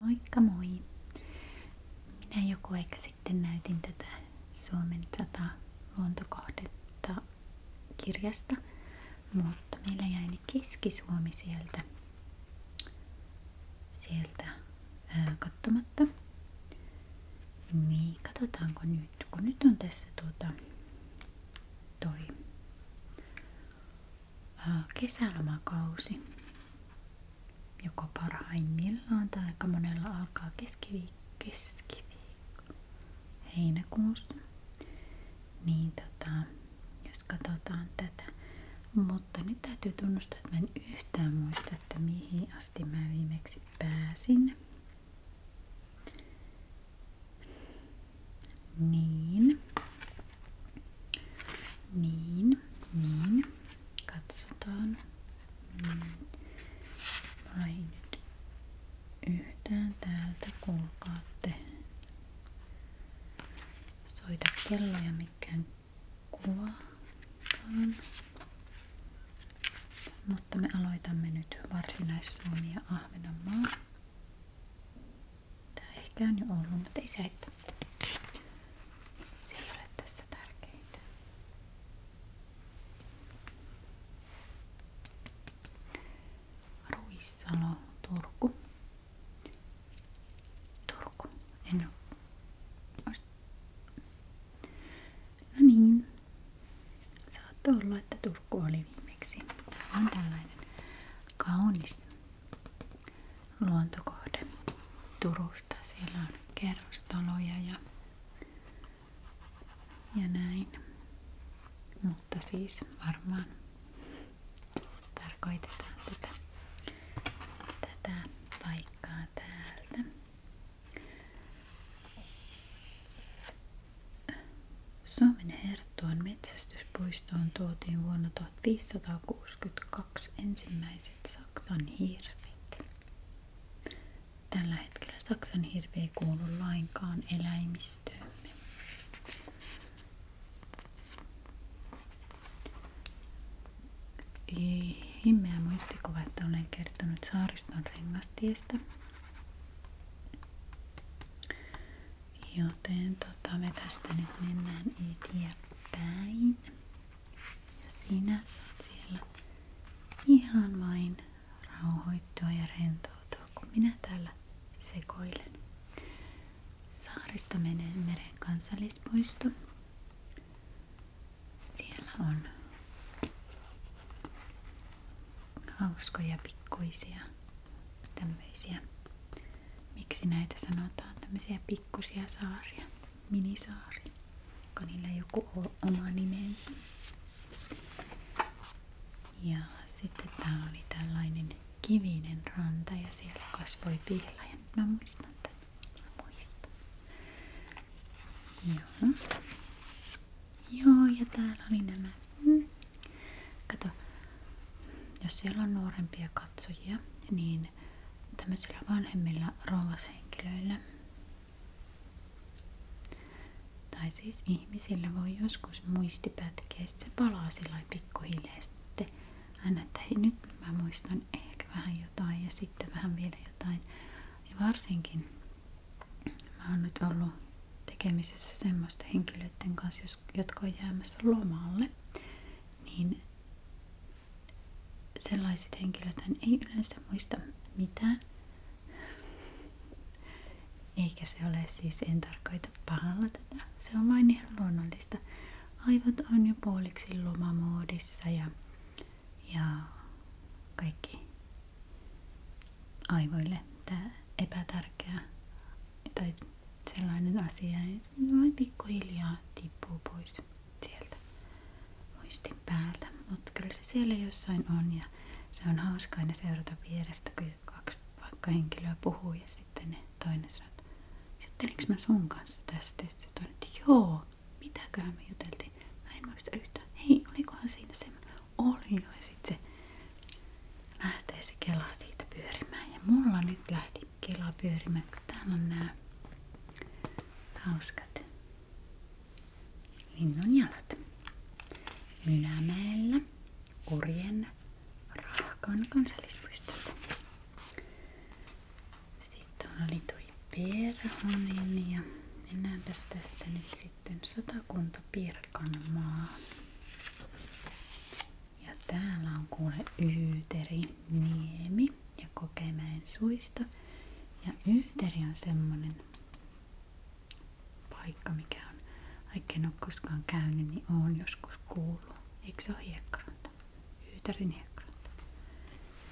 Moikka moi! Minä joku aika sitten näytin tätä Suomen 100 luontokohdetta kirjasta, mutta meillä jäi nyt Keski-Suomi sieltä, sieltä ää, katsomatta. Niin, katsotaanko nyt, kun nyt on tässä tuota, toi kesälomakausi, joko parhaimmillaan tai aika monella alkaa keskiviikko, keskiviikko heinäkuusta. Niin tota, jos katsotaan tätä. Mutta nyt täytyy tunnustaa, että mä en yhtään muista, että mihin asti mä viimeksi pääsin. Niin. Niin, niin. Katsotaan. Mä mm. ei nyt yhtään täältä kuulkaatte soita kelloja mikään kuvaakaan. Mutta me aloitamme nyt varsinais-Suomi ja Ahvenanmaa. Tää ehkä on jo ollut, mutta ei se haittaa. Se ei ole tässä tärkeintä. Ruissalo, Turku. Turku, en oo. No niin. Saattoi olla, että Turku oli viimeksi. Täällä on luontokohde Turusta. Siellä on kerrostaloja ja, ja näin. Mutta siis varmaan tarkoitetaan tätä, tätä paikkaa täältä. Suomen herra Tuon metsästyspuistoon tuotiin vuonna 1562 ensimmäiset Saksan hirvet. Tällä hetkellä Saksan hirvi ei kuulu lainkaan eläimistöömme. Himmeä muistikuva, että olen kertonut saariston rengastiestä. Joten tota, me tästä nyt mennään eteenpäin. Ja sinä saat siellä ihan vain rauhoittua ja rentoutua, kun minä täällä sekoilen. Saaristomeren meren kansallispuisto. Siellä on hauskoja pikkuisia tämmöisiä miksi näitä sanotaan, tämmöisiä pikkusia saaria, minisaaria, onko niillä joku oma nimensä. Ja sitten täällä oli tällainen kivinen ranta ja siellä kasvoi pihlaja. Mä muistan tämän. muistan. Joo. Joo, ja täällä oli nämä mm. Kato, jos siellä on nuorempia katsojia, niin tämmöisillä vanhemmilla rouvashenkilöillä tai siis ihmisillä voi joskus muistipätkiä, sit se palaa sillä pikkuhiljaa sitten aina, että hei, nyt mä muistan ehkä vähän jotain ja sitten vähän vielä jotain. Ja varsinkin mä oon nyt ollut Tekemisessä semmoista henkilöiden kanssa, jotka on jäämässä lomalle, niin sellaiset henkilöt ei yleensä muista mitään. Eikä se ole siis, en tarkoita pahalla tätä, se on vain ihan luonnollista. Aivot on jo puoliksi lomamoodissa ja, ja kaikki aivoille tämä epätärkeä tai sellainen asia ja se vain pikkuhiljaa tippuu pois sieltä muistin päältä. Mutta kyllä se siellä jossain on ja se on hauska aina seurata vierestä, kun kaksi vaikka henkilöä puhuu ja sitten ne toinen sanoo, että juttelinko mä sun kanssa tästä? Ja sitten toinen, että joo, mitäköhän me juteltiin? Mä en muista yhtään. Hei, olikohan siinä semmoinen? oli jo. Ja sit se lähtee se kela siitä pyörimään. Ja mulla nyt lähti kela pyörimään, kun täällä on nämä hauskat linnun jalat. Mynämäellä Orjen Rahkan kansallispuistosta. Sitten oli tuo perhonen ja mennäänpäs tästä nyt sitten Satakunta Pirkanmaa. Ja täällä on kuule Yyteri Niemi ja Kokemäen suisto. Ja Yyteri on semmonen paikka, mikä on, vaikka en ole koskaan käynyt, niin oon joskus kuullut. Eikö se ole hiekkaranta? Yytärin hiekkaranta.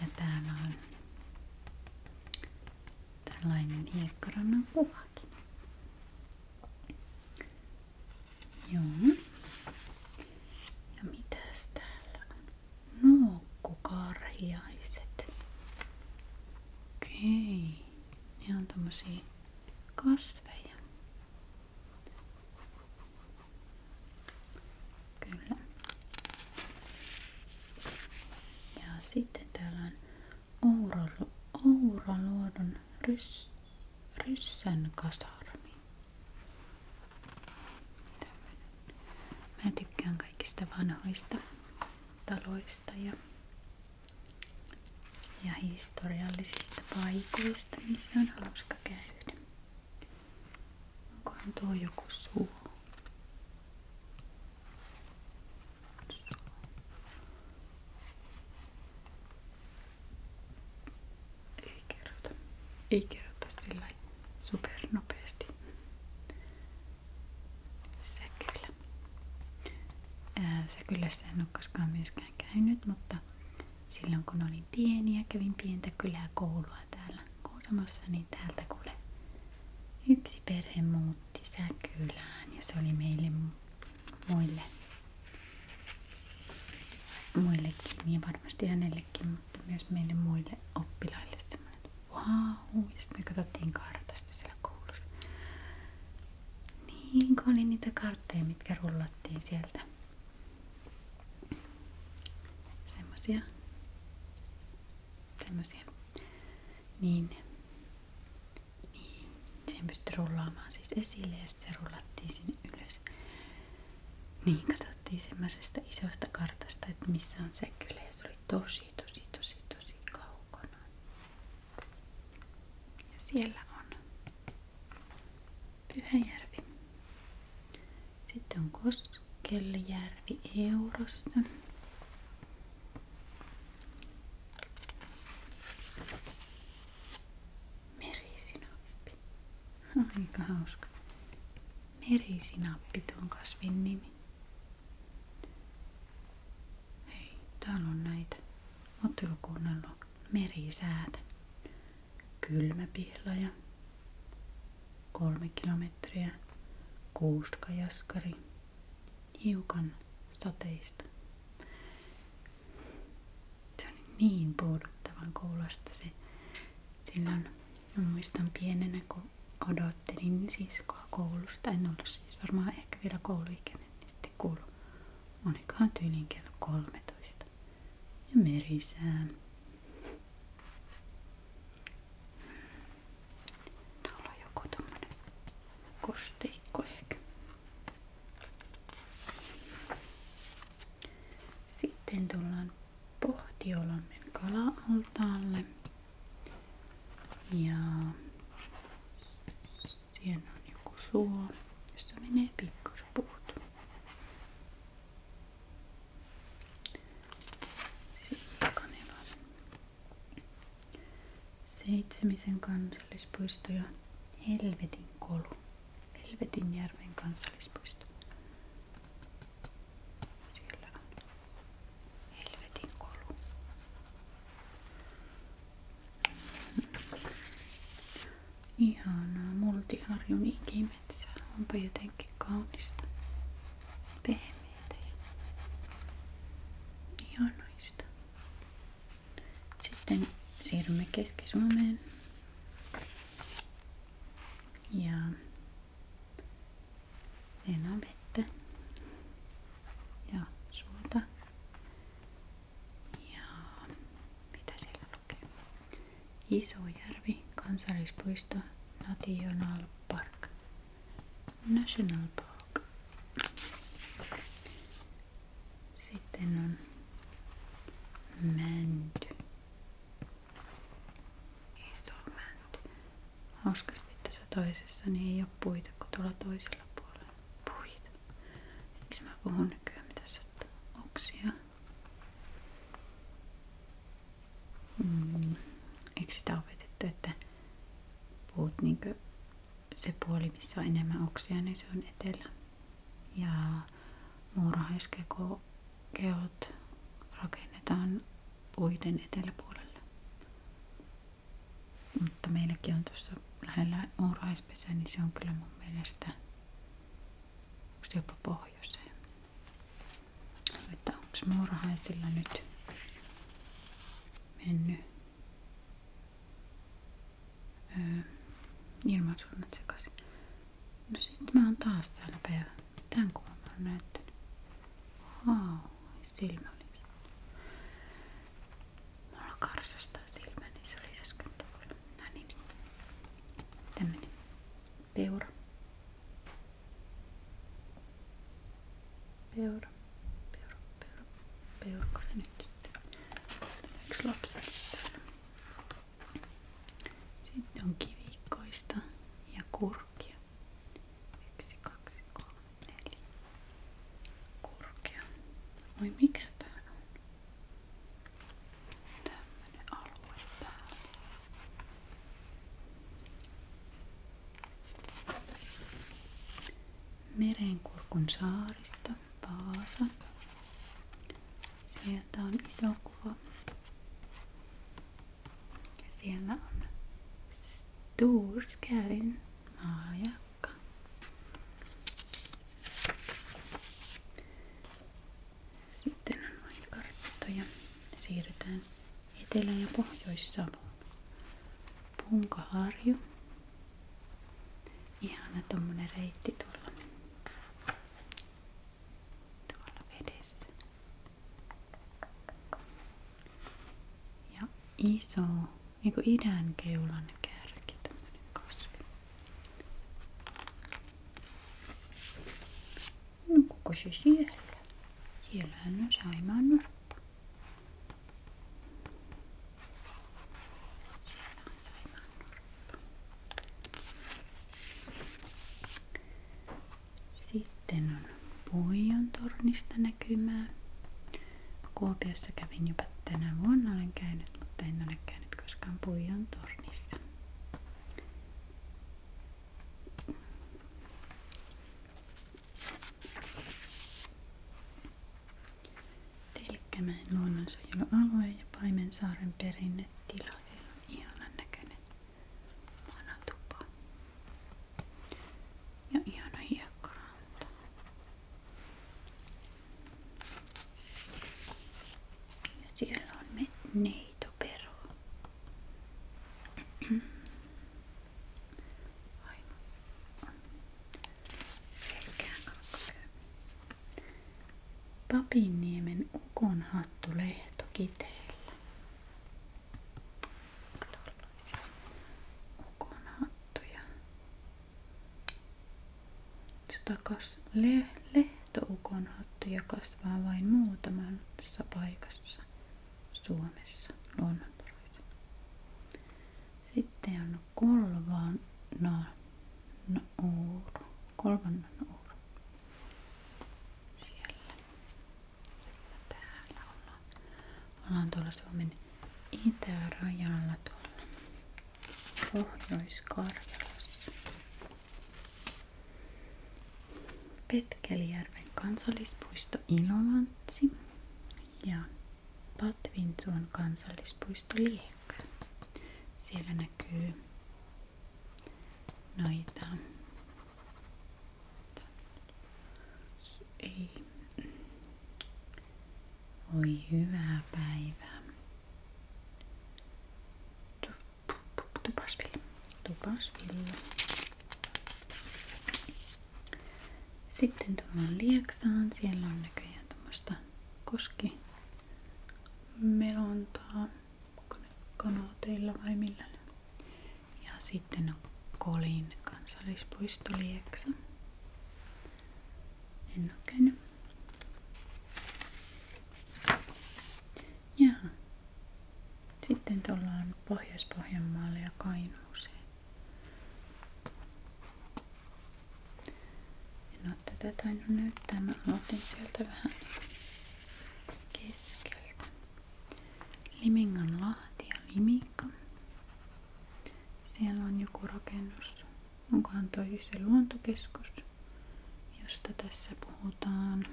Ja täällä on tällainen hiekkarannan kuva saken. Joo. Ja mitäs täällä on? Nookkukarhiaiset. Okei. Ne on tommosia kasveja. Kyllä. Ja sitten täällä on Ouraluodon rys, ryssän kasarmi. Mä tykkään kaikista vanhoista taloista ja, ja historiallisista paikoista, missä on hauska käydä. Onkohan tuo joku suu? Ei kerrota. Ei super sillä supernopeasti. Se kyllä. Ää, se kyllä se en ole koskaan myöskään käynyt, mutta silloin kun olin pieni ja kävin pientä kylää koulua täällä Kuusamossa, niin täältä kuule yksi miksi perhe muutti Säkylään ja se oli meille muille muillekin ja niin varmasti hänellekin, mutta myös meille muille oppilaille semmoinen wow, ja sitten me katsottiin kartasta siellä koulussa. Niin, kun oli niitä kartteja, mitkä rullattiin sieltä. Semmosia. Semmosia. Niin, niin, sen pystyt rullaamaan siis esille ja sitten se rullattiin sinne ylös. Niin, katsottiin semmoisesta isosta kartasta, että missä on se kylä ja se oli tosi tosi tosi tosi kaukana. Ja siellä on Pyhäjärvi. Sitten on Koskeljärvi Eurossa. Merisinappi. Aika no, hauska. Merisinappi tuon kasvin nimi. Hei, täällä on näitä. Ootteko kuunnellut merisäätä? Kylmäpihlaja. Kolme kilometriä. Kuuskajaskari hiukan sateista. Se on niin puuduttavan kuulosta se. Silloin mä muistan pienenä, kun odottelin siskoa koulusta. En ollut siis varmaan ehkä vielä kouluikäinen, niin sitten kuului. Olikohan tyylin kello 13. Ja merisää. Tuolla on joku tommonen kosteikko ehkä. Sitten tullaan Pohtiolommen kala-altaalle. Ja siellä on joku suo, josta menee pikkuspuut. Sitten kanilla Seitsemisen kansallispuisto ja Helvetin kolu. Helvetinjärven kansallispuisto. Siellä on Helvetin kolu. Ihanaa multiharjun ikimetsää. Onpa jotenkin kaunista. Pehmeä hienoista. Sitten siirrymme Keski-Suomeen. Ja enää on vettä ja suota. Ja mitä siellä lukee? Isojärvi, kansallispuisto, National Park. National Park. Sitten on Mänty. Iso mänty. Hauskasti tässä toisessa niin ei ole puita kuin tuolla toisella Puita. Miksi mä puhun nykyään? Mitä sattuu? Oksia mm, eikö sitä opetettu, että puut niin se puoli, missä on enemmän oksia, niin se on etelä. Ja muurahaiskeot rakennetaan puiden eteläpuolelle. Mutta meilläkin on tuossa lähellä muurahaispesä, niin se on kyllä mun mielestä jopa pohjoiseen. Että onks muurahaisilla nyt mennyt öö, ilmansuunnat sekaisin. No sit mä oon taas täällä päivä. Tän kuvan mä oon näyttänyt. Wow, silmä oli. Mulla karsastaa silmä, niin se oli äsken Peura. Peura. Peura. Peura. Peurko se nyt sitten? Yksi on kivikkoista ja kurkia. Yksi, kaksi, kolme, Kurkia. Voi mikä tää tämmönen alue täällä. Merenkurkun saaristo, Vaasa. Sieltä on iso kuva. Ja siellä on Storskärin maajakka. Sitten on vain karttoja. Siirrytään Etelä- ja Pohjois-Savoon. Punkaharju. Ihana tommonen reitti tuolla. Tuolla vedessä. Ja iso, niinku idän keulan kärki, tommonen kasvi. No kuka se siellä? Siellähän on Saimaan Sitten on Puijon tornista näkymää. Kuopiossa kävin jopa tänä vuonna olen käynyt, mutta en ole käynyt koskaan Puijon tornissa. Telkkämäen luonnonsuojelualue ja Paimensaaren perinnetila. Siellä on ihanan näköinen vanatupa. Ja ihana hiekkaranta. Ja siellä on me neito tu perho. Aino Papinniemen ukon hattulehto kiteellä. Tuollaisia ukon hattuja takas le lehtoukon hattu kasvaa vain muutamassa paikassa Suomessa luonnonporoissa. Sitten on kolvan na, uuru. Kolvan uuru. Siellä. Täällä ollaan. Ollaan tuolla Suomen itärajalla tuolla Pohjois-Karjalassa. Petkelijärven kansallispuisto Ilomantsi ja Patvinsuon kansallispuisto Liekka. Siellä näkyy noita ei. Oi hyvää päivää. Sitten tuohon Lieksaan. Siellä on näköjään tuommoista koskimelontaa kanooteilla vai millä. Ja sitten on Kolin kansallispuisto Lieksa. En ole käynyt. Jaha. Sitten tuolla on Pohjois-Pohjanmaalle ja Kainuuseen. En ole tätä tainnut näyttää. Mä aloitin sieltä vähän keskeltä. Limingan lahti ja Limikka. Siellä on joku rakennus. Onkohan toi se luontokeskus, josta tässä puhutaan?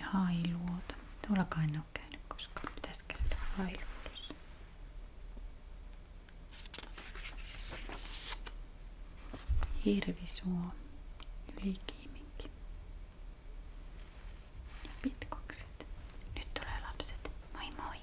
Ja hailuoto. Tuollakaan en ole käynyt koskaan. Pitäisi käydä hailuodossa. Hirvisuo. Ylikiiminki. Ja pitkokset. Nyt tulee lapset. Moi moi!